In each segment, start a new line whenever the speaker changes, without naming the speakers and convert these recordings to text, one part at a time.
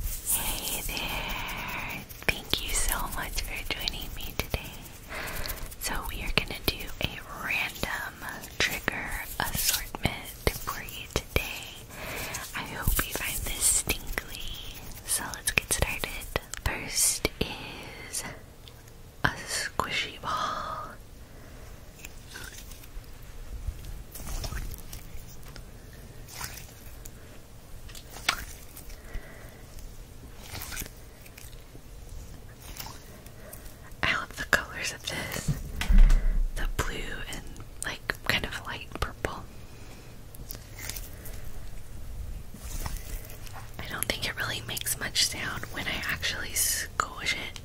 Hey there! Thank you so much for joining me today. So, we are going to do a random trigger assortment for you today. I hope you find this stingly. So, let's get started. First is a squishy ball. I love the colors of this the blue and like kind of light purple. I don't think it really makes much sound when I actually squish it,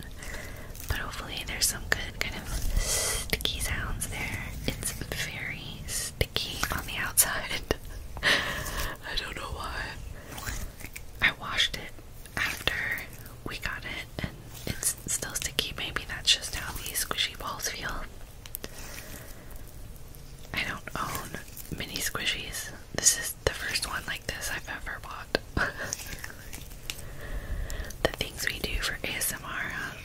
but hopefully, there's some good kind of sticky sounds there. It's very sticky on the outside. I don't know why. I washed it after we got it and it's still sticky. Maybe that's just how these squishy balls feel. I don't own mini squishies. This is the first one like this I've ever bought. the things we do for ASMR, huh?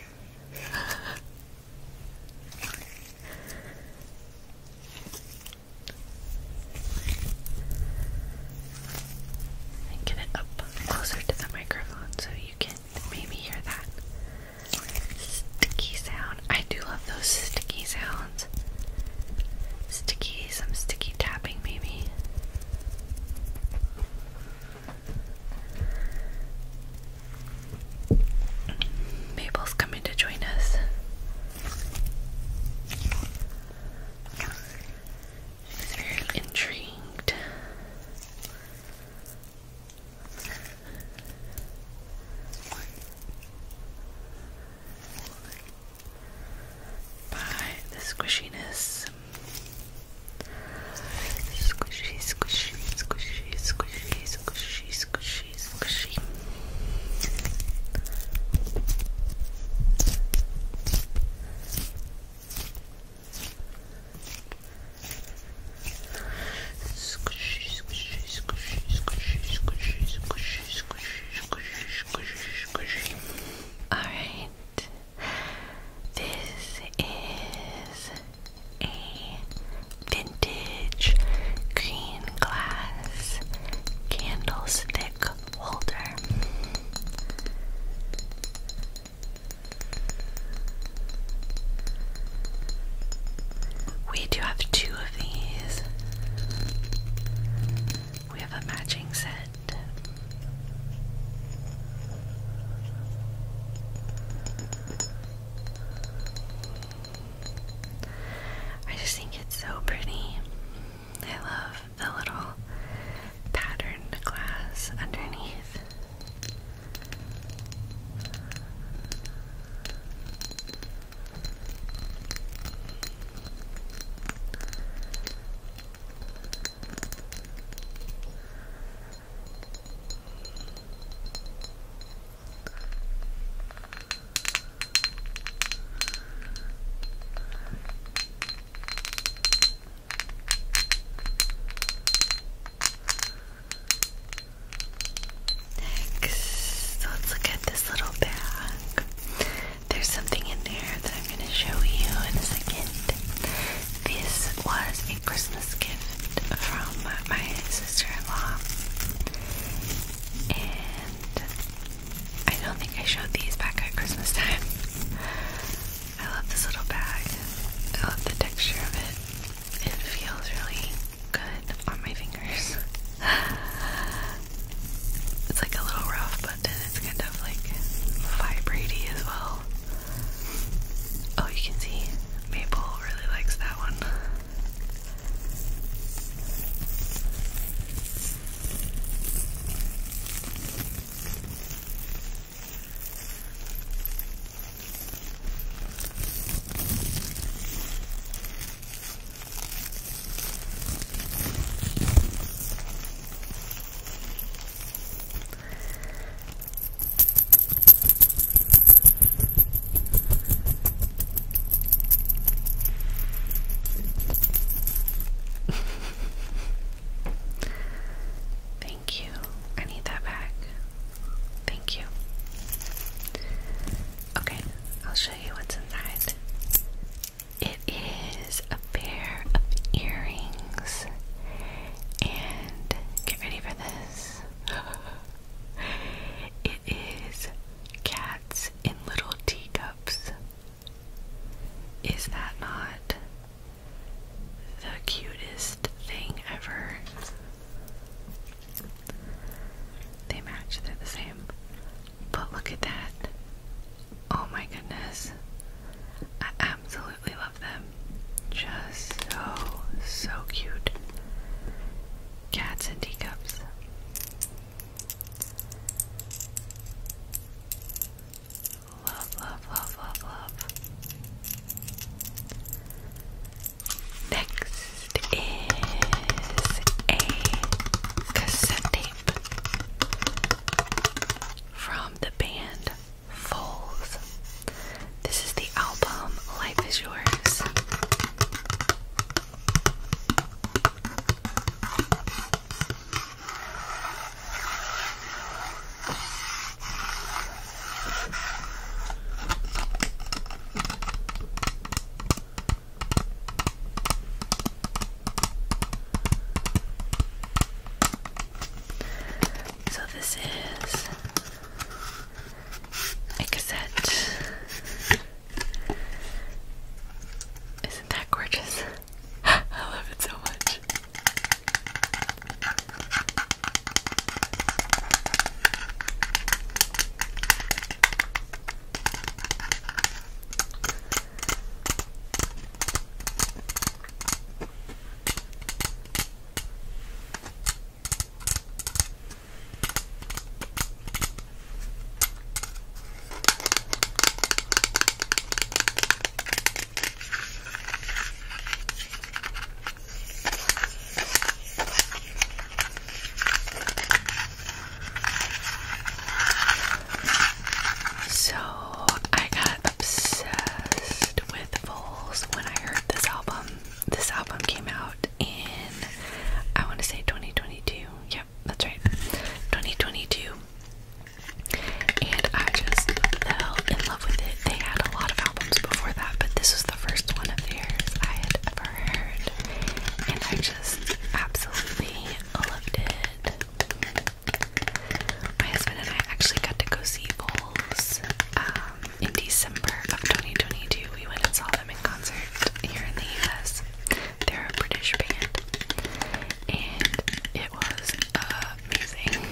get it up closer to the microphone so you can maybe hear that sticky sound. I do love those sticky sounds. Sticky, some sticky tapping, maybe. Mabel's coming to join us. She's very intrigued. By the squishiness Squishy, squishy, squishy, squishy, squishy, squishy, squishy. Squishy, squishy, squishy, squishy, squishy, squishy, squishy, squishy, squishy, squishy. All right. This is a vintage green glass candlestick holder. We do have two of these. We have a matching set. I just think it's so pretty. I love the little patterned glass underneath. Next, let's look at this little bag. There's something in there that I'm going to show you in a second. This was a Christmas gift from my sister-in-law, and I don't think I showed these back at Christmas time. I love this little bag. I love the texture of it. It feels really good on my fingers. It's like a little rough, but then it's kind of like vibrating as well. Oh, you can see Maple really likes that one. Thank you. I need that back. Thank you. Okay, I'll show you what's inside. It is a pair of earrings and get ready for this. it is cats in little teacups. Is that not the cutest thing ever? They match, they're the same. But look at that. Oh my goodness. I absolutely love them. Just so, so cute. Cats and teacups. Love, love, love, love, love. Next is a cassette tape from the band Falls. This is the album Life Is Yours. So this is a cassette. Isn't that gorgeous? I love it so much. So I got obsessed with Voles, when I heard this album. This album came out in, I want to say 2022. Yep, that's right. 2022. And I just fell in love with it. They had a lot of albums before that, but this was the first one of theirs I had ever heard. And I just absolutely loved it. My husband and I actually got to go see Vols um, in December of 2022. We went and saw them in concert here in the US. They're a British band, and it was amazing.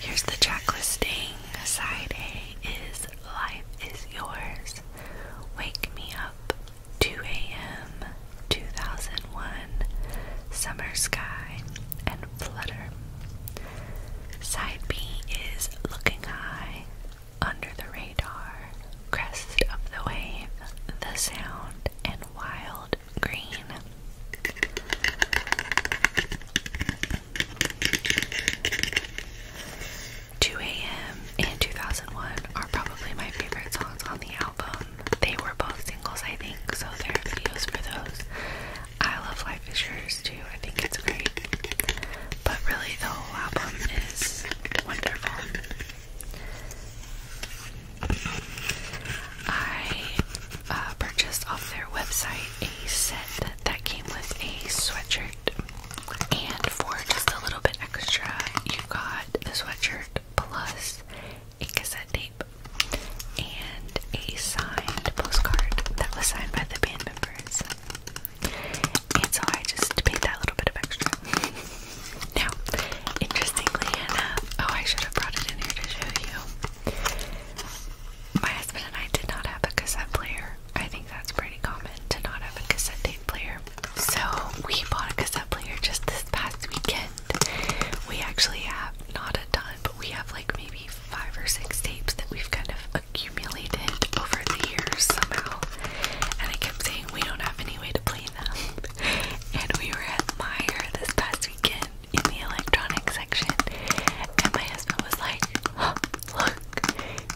Here's the track listing. Side A is Life is Yours, Wake Me Up, 2 a.m., 2001, Summer Sky, and Flutter. Side B is Looking High, Under the Radar, Crest of the Wave, The Sound, and Wild Green. Two AM and 2001 are probably my favorite songs on the album. They were both singles, I think, so there are videos for those. I love Life is Yours too, I think it's great. But really, the whole album is wonderful. I uh, purchased off their website a set that came with a sweatshirt. And for just a little bit extra, you got the sweatshirt plus a cassette tape and a signed postcard that was signed by the band members. And so I just paid that little bit of extra. now, interestingly enough, oh, I should have brought it in here to show you. My husband and I did not have a cassette player. I think that's pretty common to not have a cassette tape player. So we bought a cassette player just this past weekend we actually have not a ton, but we have like maybe five or six tapes that we've kind of accumulated over the years somehow. And I kept saying we don't have any way to play them. and we were at Meyer this past weekend in the electronics section, and my husband was like, oh, "Look,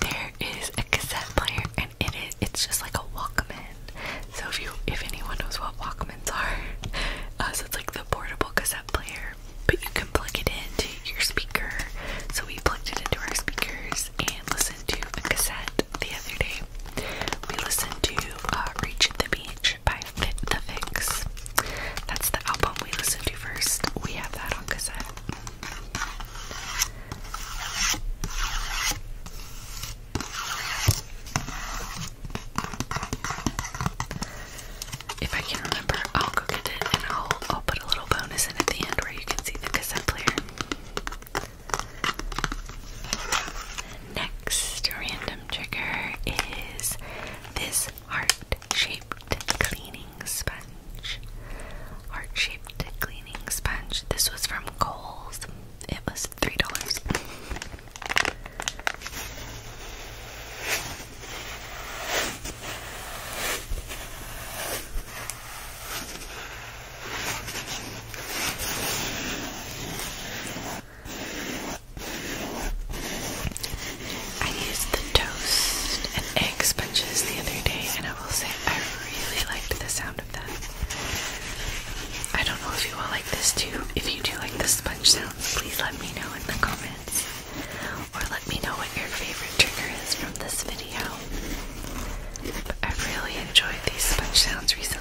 there is a cassette player, and in it, it's just like a Walkman." So if you, if anyone knows what Walkmans are, uh, so it's like the portable cassette player, but you can plug it into your speaker. So we plugged it into our speakers and listened to a cassette the other day. We listened to uh, "Reach the Beach" by Fit the Fix. That's the album we listened to first. We have that on cassette. If I can remember, I'll go get it and I'll, I'll put a little bonus in at the end where you can see the cassette player. Next random trigger is this heart-shaped cleaning sponge. Heart-shaped cleaning sponge. This was from Kohl's. It was three dollars. I used the toast and egg sponges the other day, and I will say I really liked the sound of that. I don't know if you all like this too. If you do like the sponge sounds, please let me know in the comments. Or let me know what your favorite trigger is from this video. I've really enjoyed these sponge sounds recently.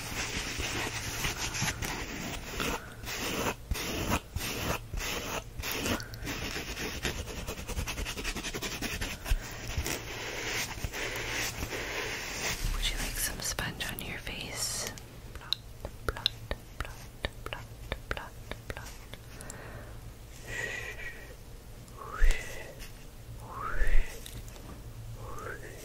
Would you like some sponge on your face?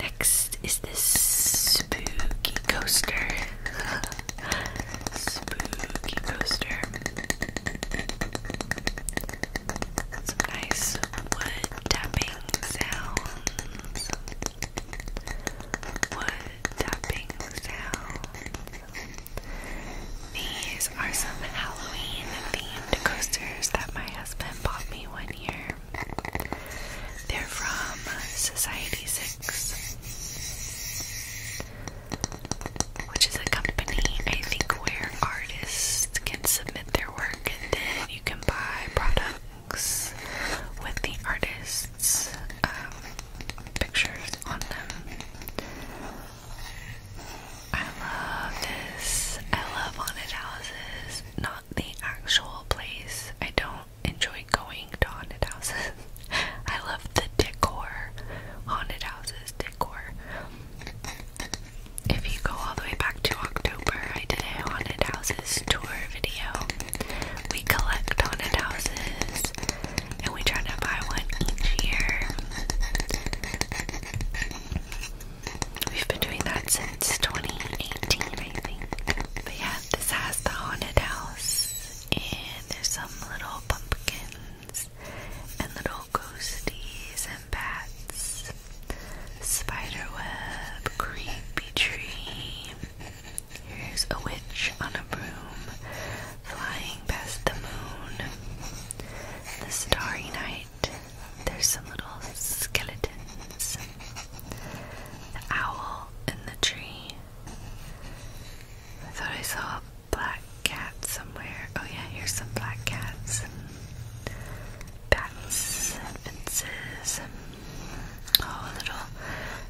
Next is this spooky coaster. spooky coaster. Some nice wood tapping sounds. Wood tapping sounds. These are some Halloween themed coasters that my husband bought me one year. They're from Society Six, which is a company I think where artists can submit their work and then you can buy products with the artist's um, pictures on them. I love this. I love haunted houses not the actual place. I don't enjoy going to haunted houses. I love the decor. Haunted houses decor. If you go all the way back to October, I did a haunted houses tour video. We collect haunted houses and we try to buy one each year. We've been doing that since 2018, I think. But yeah, this has the haunted house, and there's some little pumpkins, and little ghosties, and bats, spiderweb, creepy tree. Here's a witch on a broom, flying past the moon. The starry night there's some little skeletons. The owl in the tree. I thought I saw a black cat somewhere. Oh, yeah, here's some black cats and bats and fences. And, oh, a little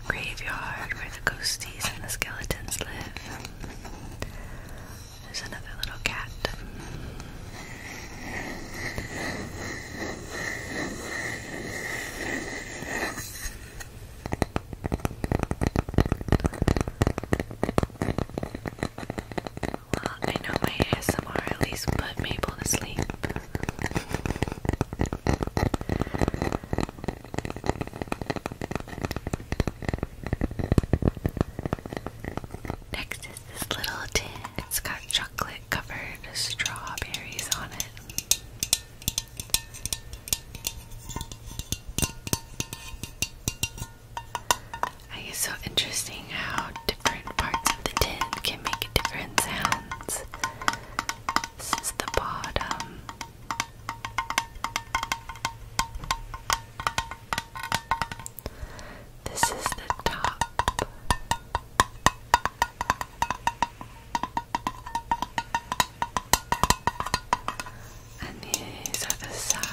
graveyard where the ghosties and the skeletons live. There's another little cat. Well, I know my ASMR at least put Maple to sleep this little tin. It's got chocolate covered strawberries on it. I guess so interesting how different parts of the tin can make different sounds. This is the bottom. This is the top. And these are the sides.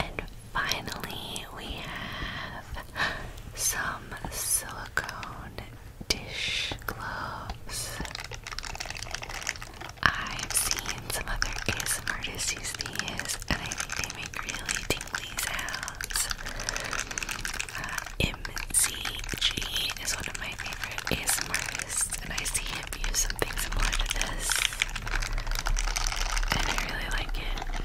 And finally, we have some silicone dish gloves. I've seen some other ASMR artists use these, and I think they make really tingly sounds. Uh, MCG is one of my favorite ASMRs, and I see him use something similar to this, and I really like it.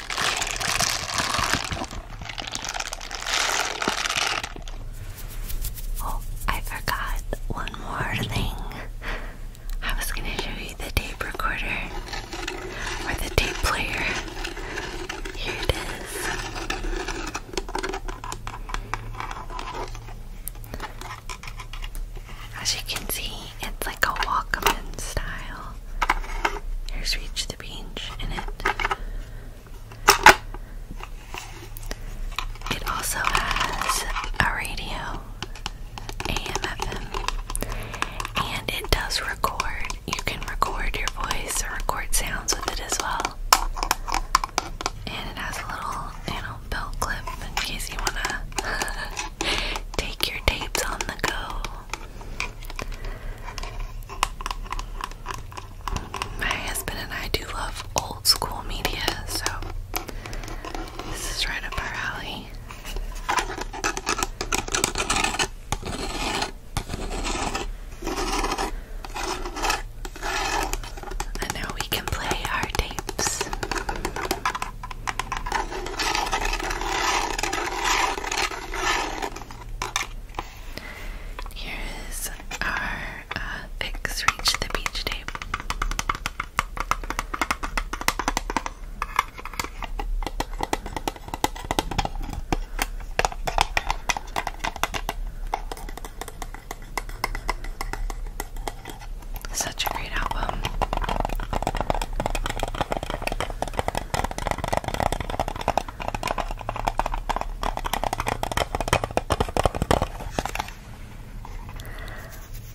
Oh, I forgot one more thing. I was going to show you the tape recorder or the tape player. Here it is. As you can see, it's like a Walkman style. Here's Reach the Beach in it. It also has a radio, AM, FM, and it does record. You can record your voice or record sounds with it as well. And it has a little, you belt clip in case you wanna take your tapes on the go my husband and I do love old school media, so this is right up our alley. And now we can play our tapes. Here is our uh, reach the beach tape. Such a great album.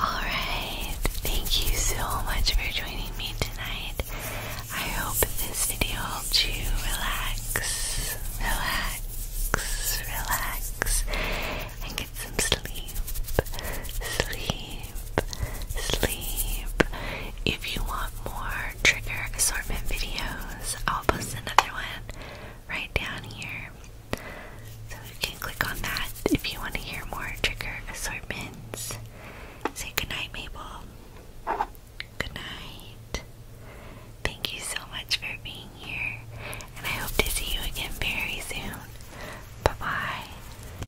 Alright, thank you so much for joining me tonight. I hope this video helped you relax, relax, relax, and get some sleep. Sleep, sleep. If you want more trigger assortment videos, I'll post another one right down here. So you can click on that if you want to hear more trigger assortments. Say goodnight, Mabel. Good night. Thank you so much for being here, and I hope to see you again very soon. Bye bye.